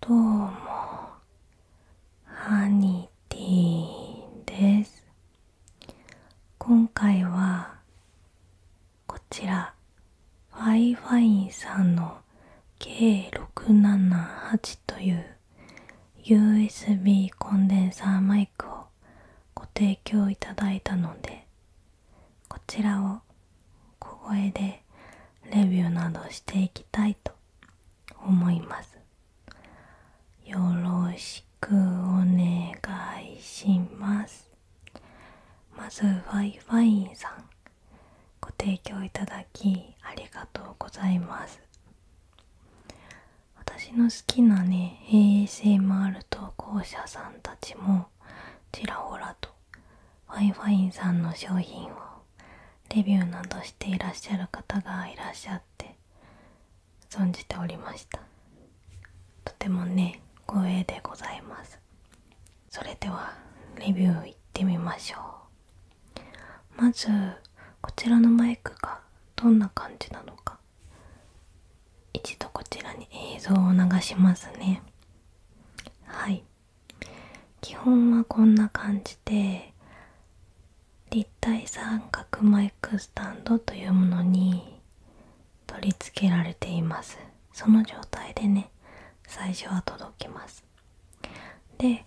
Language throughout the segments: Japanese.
どうもハニティです今回はこちらファイファインさんの K678 という USB コンデンサーマイクをご提供いただいたのでこちらを小声でレビューなどしていきたいと思いますよろしくお願いしますまず Wi-Fi さんご提供いただきありがとうございます私の好きなね ASMR 投稿者さんたちもちらほらと w i イファさんの商品をレビューなどしていらっしゃる方がいらっしゃって存じておりましたとてもね光栄でございますそれではレビューいってみましょうまずこちらのマイクがどんな感じなのか一度こちらに映像を流しますねはい基本はこんな感じで立体三角マイクスタンドというものに取り付けられていますその状態でね最初は届きますで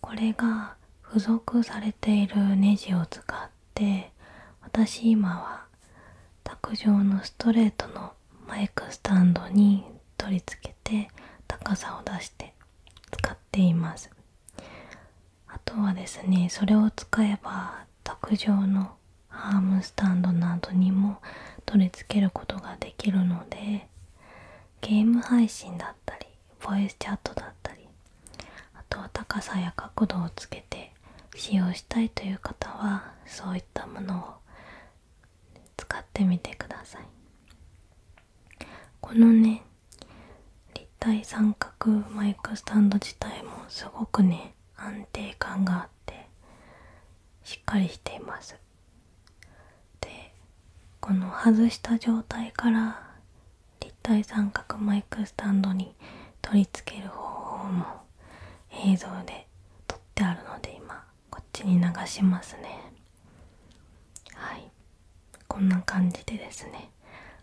これが付属されているネジを使って私今は卓上のストレートのマイクスタンドに取り付けて高さを出して使っていますあとはですねそれを使えば卓上のアームスタンドなどにも取り付けることができるのでゲーム配信だったりボイスチャットだったりあとは高さや角度をつけて使用したいという方はそういったものを使ってみてくださいこのね立体三角マイクスタンド自体もすごくね安定感があってしっかりしていますでこの外した状態から立体三角マイクスタンドに取り付ける方法も映像で撮ってあるので今こっちに流しますねはいこんな感じでですね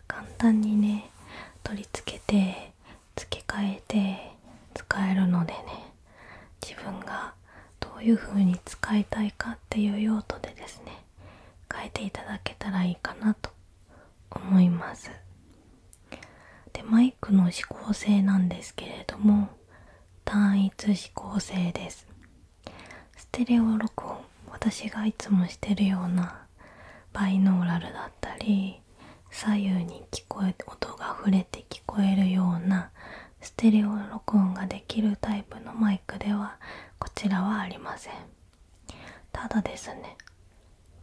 簡単にね取り付けて付け替えて使えるのでね自分がどういう風に使いたいかっていう用途でですね変えていただけたらいいかなと思いますでマイクの指向性なんですけれども単一指向性ですステレオ録音私がいつもしてるようなバイノーラルだったり左右に聞こえ音が触れて聞こえるようなステレオ録音ができるタイプのマイクではこちらはありませんただですね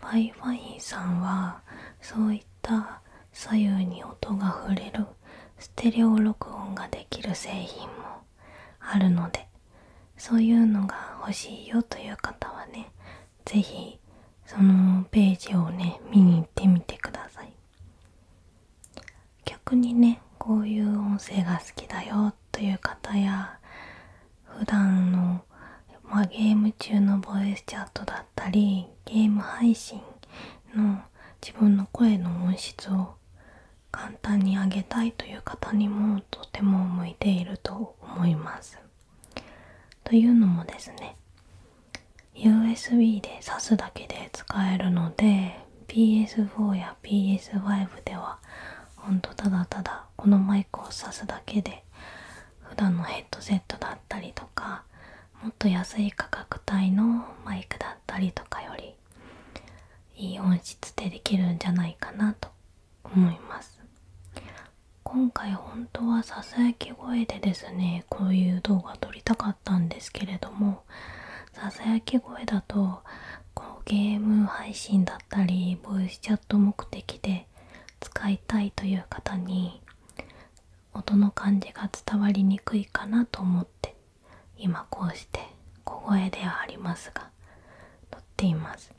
Wi-Fi さんはそういった左右に音が触れるステレオ録音ができる製品もあるのでそういうのが欲しいよという方はね是非そのページをね見に行ってみてください逆にねこういう音声が好きだよという方や普段のまゲーム中のボイスチャットだったりゲーム配信の自分の声の音質を簡単に上げたいという方にもとても向いていると思います。というのもですね USB で挿すだけで使えるので PS4 や PS5 ではほんとただただこのマイクを挿すだけで普段のヘッドセットだったりとかもっと安い価格帯のマイクだったりとかよりいい音質でできるんじゃないかなと思います今回本当はささやき声でですねこういう動画撮りたかったんですけれどもささやき声だとこうゲーム配信だったりボイスチャット目的で使いたいという方に音の感じが伝わりにくいかなと思って今こうして小声ではありますが撮っています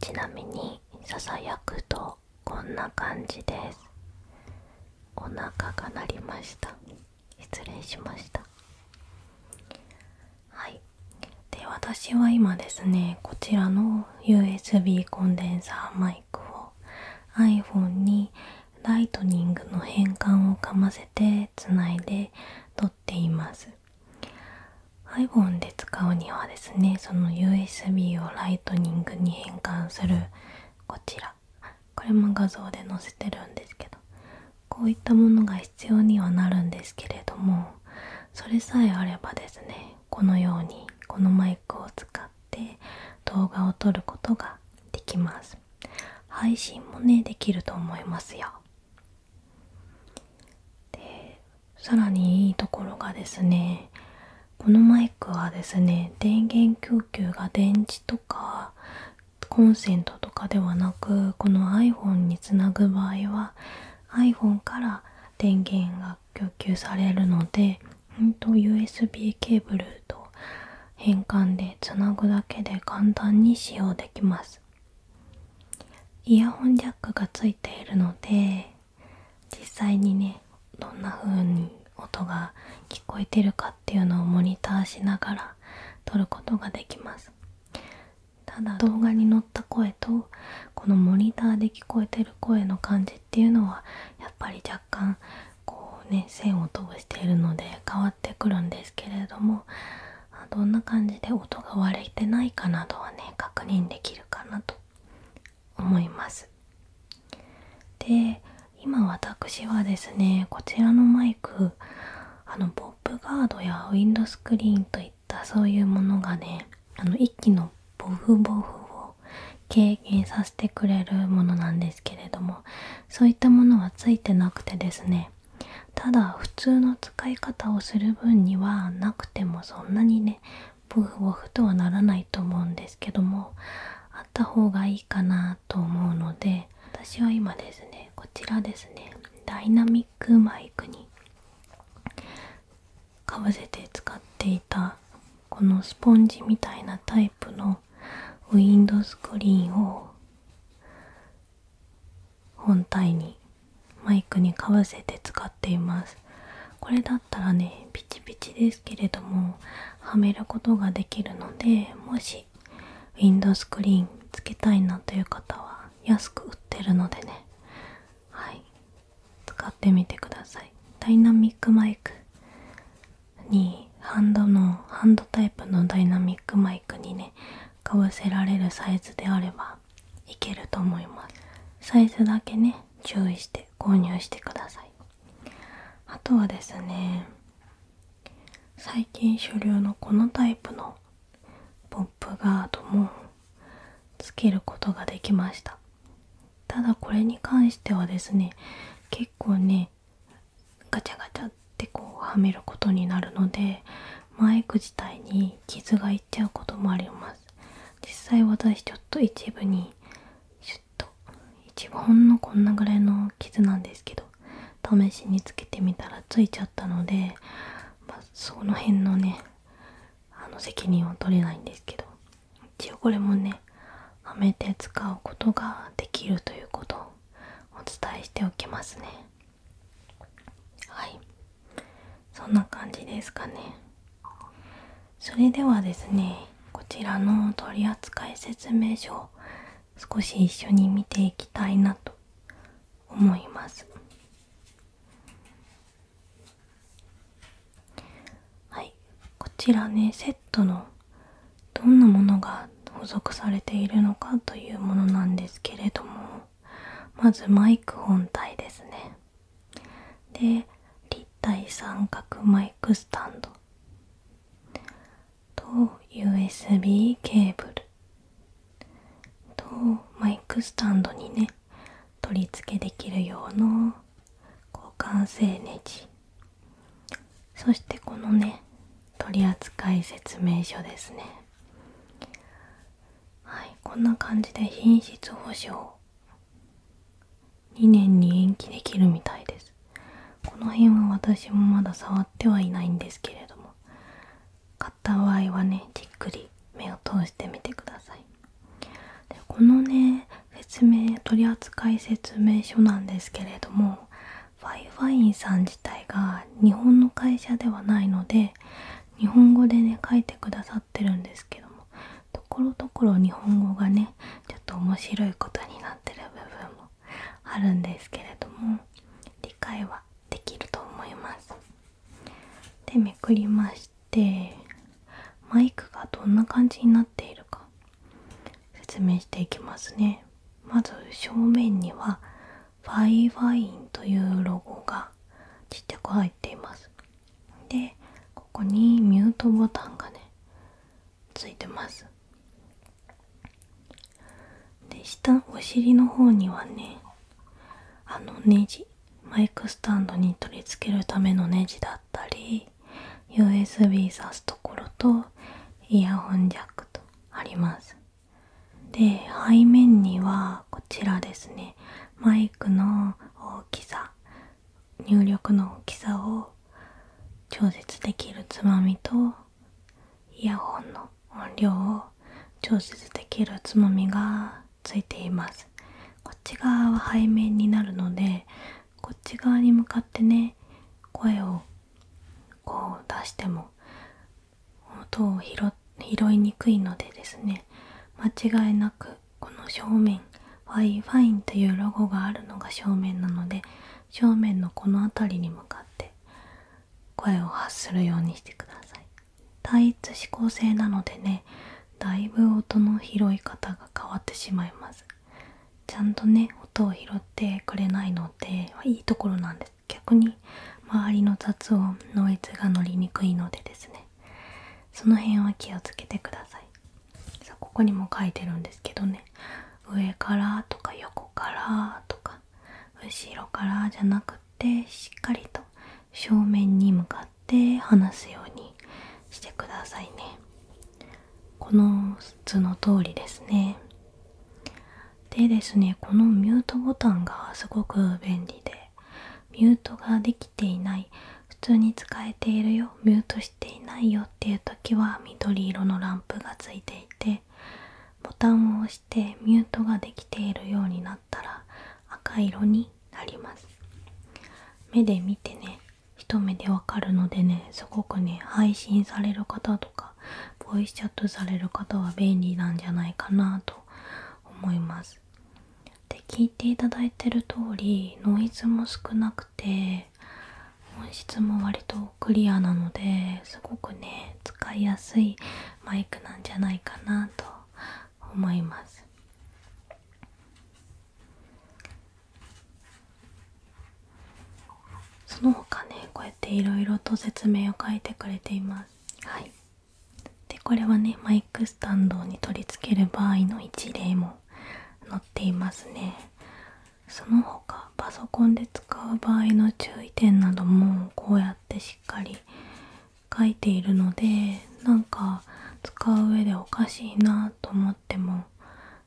ちなみにささやくとこんな感じですお腹が鳴りました失礼しましたはいで私は今ですねこちらの USB コンデンサーマイクを iPhone にライトニングの変換をかませてついで撮っています iPhone で使うにはですねその USB をライトニングに変換するこちらこれも画像で載せてるんですけどこういったものが必要にはなるんですけれどもそれさえあればですねこのようにこのマイクを使使動画を撮ることができます配信もねできると思いますよでさらにいいところがですねこのマイクはですね電源供給が電池とかコンセントとかではなくこの iPhone につなぐ場合は iPhone から電源が供給されるので、うん、と USB ケーブルと変換でつなぐだけで簡単に使用できますイヤホンジャックがついているので実際にねどんな風に音が聞こえてるかっていうのをモニターしながら撮ることができますただ動画に載った声とこのモニターで聞こえてる声の感っていうのはやっぱり若干こうね線を通しているので変わってくるんですけれどもどんな感じで音が割れてないかなどはね確認できるかなと思います。で今私はですねこちらのマイクあのポップガードやウィンドスクリーンといったそういうものがねあの1機のボフボフを軽減させてくれるものなんですけれどもそういったものはついてなくてですねただ普通の使い方をする分にはなくてもそんなにねボフボフとはならないと思うんですけどもあった方がいいかなと思うので私は今ですねこちらですねダイナミックマイクにかぶせて使っていたこのスポンジみたいなタイプのウィンドスクリーンを本体にマイクにかぶせて使っていますこれだったらねピチピチですけれどもはめることができるのでもしウィンドスクリーンつけたいなという方は安く売ってるのでねはい使ってみてくださいダイナミックマイクにハンドのハンドタイプのダイナミックマイクにねかぶせられるサイズであればいけると思いますサイズだけね注意して購入してくださいあとはですね最近主流のこのタイプのポップガードもつけることができましたただこれに関してはですね結構ねガチャガチャってこうはめることになるのでマイク自体に傷がいっちゃうこともあります実際私ちょっと一部にシュッと一部ほんのこんなぐらいの傷なんですけど試しにつけてみたらついちゃったので、まその辺のねあの責任は取れないんですけど一応これもねはめて使うことができるということをお伝えしておきますねはいそんな感じですかねそれではですねこちらの取扱説明書を少し一緒に見ていきたいなと思いますはいこちらねセットのどんなものが付属されているのかというものなんですけれどもまずマイク本体ですねで立体三角マイクスタンドと USB ケーブルとマイクスタンドにね取り付けできるような。交感性ネジそしてこのね取扱説明書ですねはいこんな感じで品質保証2年に延期できるみたいですこの辺は私もまだ触ってはいないんですけれども買った場合はねじっくり目を通してみてくださいでこのね説明取扱説明書なんですけれどもファイファインさん自体が日本の会社ではないので日本語でね書いてくださってるんですけどもところどころ日本語がねちょっと面白いことになってる部分もあるんですけれども理解はできると思います。でめくりしマイクがどんな感じになっているか説明していきますねまず正面にはファイファインというロゴがちっちゃく入っていますでここにミュートボタンがねついてますで下お尻の方にはねあのネジマイクスタンドに取り付けるためのネジだったり USB 挿すところとイヤホンジャックとありますで背面にはこちらですねマイクの大きさ入力の大きさを調節できるつまみとイヤホンの音量を調節できるつまみがついていますこっち側は背面になるのでこっち側に向かってね声をこう出しても音を拾いにくいのでですね間違いなくこの正面ファイファインというロゴがあるのが正面なので正面のこの辺りに向かって声を発するようにしてください単一指向性なのでねだいぶ音の拾い方が変わってしまいますちゃんとね音を拾ってくれないのでいいところなんです逆に周りの雑音ノイズが乗りにくいのでですねその辺は気をつけてくださいさあここにも書いてるんですけどね上からとか横からとか後ろからじゃなくってしっかりと正面に向かって話すようにしてくださいねこの図の通りですねでですねこのミュートボタンがすごく便利でミュートができていない普通に使えているよミュートしていないよっていう時は緑色のランプがついていてボタンを押してミュートができているようになったら赤色になります目で見てね一目でわかるのでねすごくね配信される方とかボイスチャットされる方は便利なんじゃないかなと思いますで聞いていただいてる通りノイズも少なくて音質も割とクリアなのですごくね使いやすいマイクなんじゃないかなと思いますその他ねこうやっていろと説明を書いてくれていますはいでこれはねマイクスタンドに取り付ける場合の一例も載っていますねその他パソコンで使う場合の注意点などもこうやってしっかり書いているのでなんか使う上でおかしいなと思っても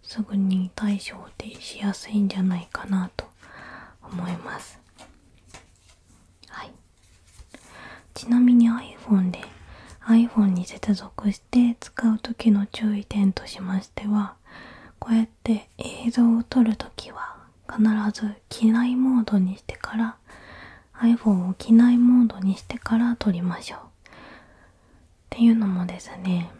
すぐに対処でしやすいんじゃないかなと思いますはいちなみに iPhone で iPhone に接続して使う時の注意点としましてはこうやって映像を撮る時は必ず機内モードにしてから iPhone を機内モードにしてから撮りましょうっていうのもですね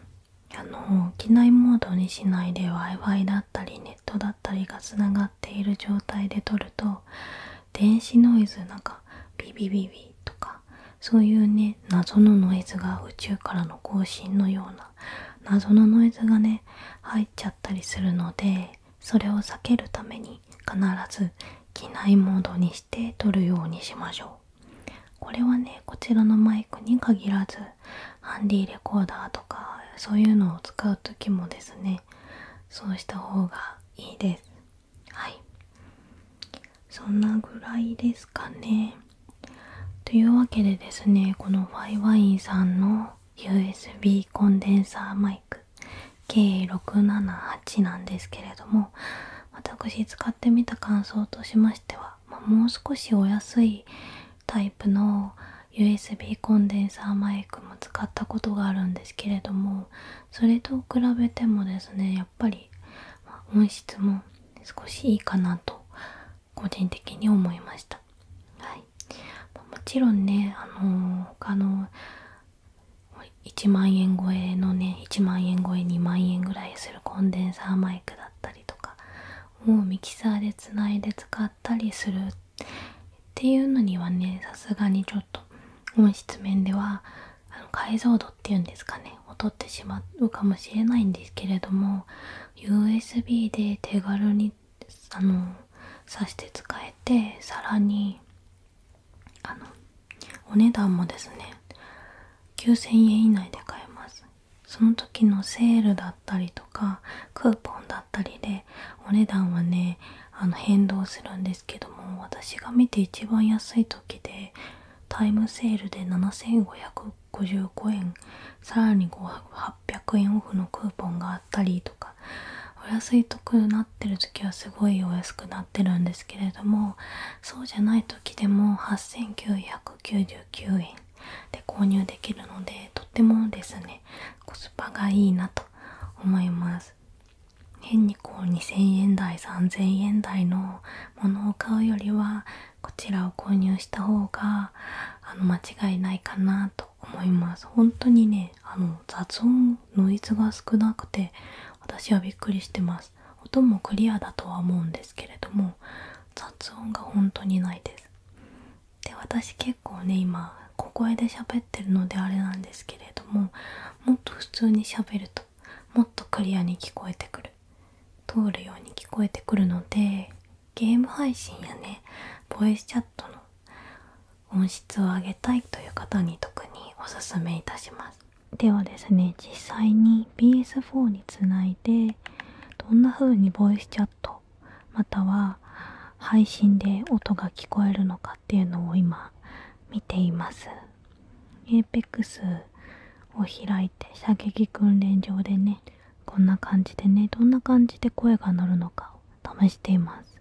あの機内モードにしないで w i f i だったりネットだったりがつながっている状態で撮ると電子ノイズなんかビビビビとかそういうね謎のノイズが宇宙からの更新のような謎のノイズがね入っちゃったりするのでそれを避けるために必ず機内モードにして撮るようにしましょうこれはねこちらのマイクに限らずハンディレコーダーとかそういうのを使う時もですねそうした方がいいですはいそんなぐらいですかねというわけでですねこのファイワインさんの USB コンデンサーマイク計678なんですけれども私使ってみた感想としましては、もう少しお安いタイプの USB コンデンサーマイクも使ったことがあるんですけれどもそれと比べてもですねやっぱり音質も少しいいかなと個人的に思いました、はい、もちろんねあのー、他の1万円超えのね1万円超え2万円ぐらいするコンデンサーマイクだったりとかもうミキサーでつないで使ったりするっていうのにはねさすがにちょっと音質面では解像度っていうんですかね劣ってしまうかもしれないんですけれども USB で手軽にあの挿して使えてさらにあのお値段もですね9000円以内で買えますその時のセールだったりとかクーポンだったりでお値段はねあの変動するんですけども私が見て一番安い時でタイムセールで7555円さらに800円オフのクーポンがあったりとかお安いとくなですけれどもそうじゃない時でも8999円で購入できるのでとってもですねコスパがいいなと思います変にこう2000円台3000円台のものを買うよりはこちらを購入した方があの間違いないかなと思いますねあの雑音ノイズが少なくて私はびっくりしてます音もクリアだとは思うんですけれども雑音が本当にないですで私結構ね今小声で喋ってるのであれなんですけれどももっと普通にしゃべるともっとクリアに聞こえてくる通るように聞こえてくるのでゲーム配信やねボイスチャットの音質を上げたいという方に特におすめいたしますではですね実際に PS4 につないでどんな風にボイスチャットまたは配信で音が聞こえるのかっていうのを今見ています APEX を開いて射撃訓練場でねこんな感じでねどんな感じで声が乗るのかを試しています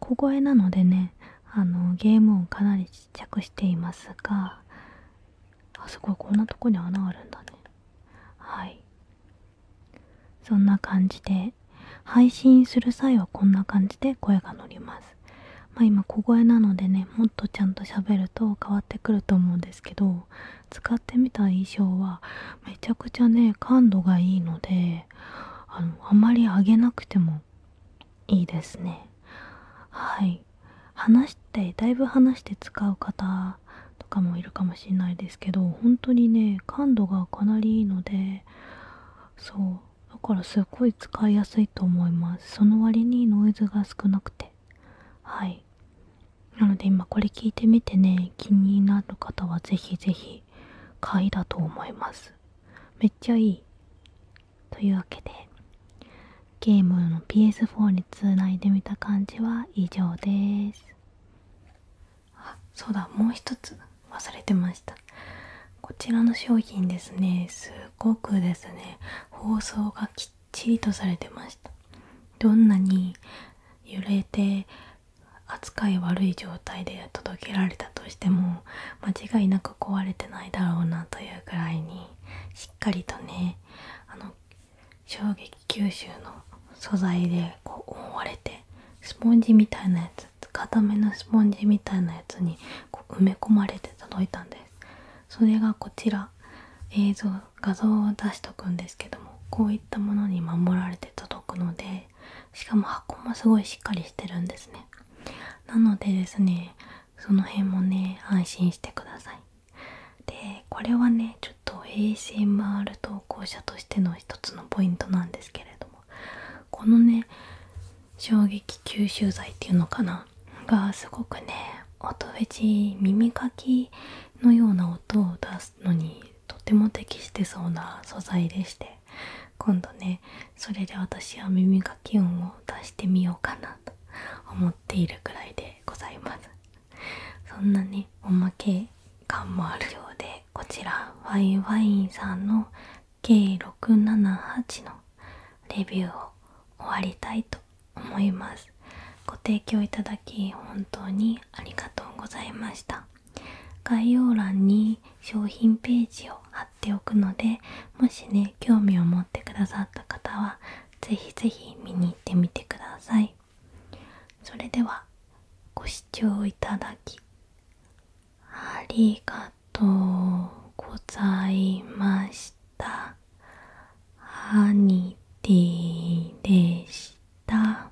小声なのでねあのゲーム音かなりちっちゃくしていますがあすごいこんなとこに穴あるんだねはいそんな感じで配信する際はこんな感じで声が乗りますまあ今小声なのでねもっとちゃんと喋ると変わってくると思うんですけど使ってみた衣装はめちゃくちゃね感度がいいのであのあんまり上げなくてもいいですねはい話してだいぶ話して使う方とかもいるかもしれないですけど本当にね感度がかなりいいのでそうだからすっごい使いやすいと思いますその割にノイズが少なくてはいなので今これ聞いてみてね気になる方は是非是非買いだと思います。めっちゃいい。というわけで、ゲームの PS4 につないでみた感じは以上です。あ、そうだ、もう一つ忘れてました。こちらの商品ですね、すごくですね、包装がきっちりとされてました。どんなに揺れて扱い悪い状態で届けられたとしても間違いなく壊れてないだろうなというぐらいにしっかりとねあの衝撃吸収の素材でこう覆われてスポンジみたいなやつ固めのスポンジみたいなやつに埋め込まれて届いたんですそれがこちら映像画像を出しとくんですけどもこういったものに守られて届くのでしかも箱もすごいしっかりしてるんですねなのでですねその辺もね安心してくださいでこれはねちょっと ASMR 投稿者としての一つのポイントなんですけれどもこのね衝撃吸収剤っていうのかながすごくね音フェチ耳かきのような音を出すのにとても適してそうな素材でして今度ねそれで私は耳かき音を出してみようかなと思っているくらいでございますそんなねおまけ感もあるようでこちらワイワインさんの計678のレビューを終わりたいと思いますご提供いただき本当にありがとうございました概要欄に商品ページを貼っておくのでもしね興味を持ってくださった方は是非是非見に行ってみてくださいそれではご視聴いただきありがとうございましたハニティでした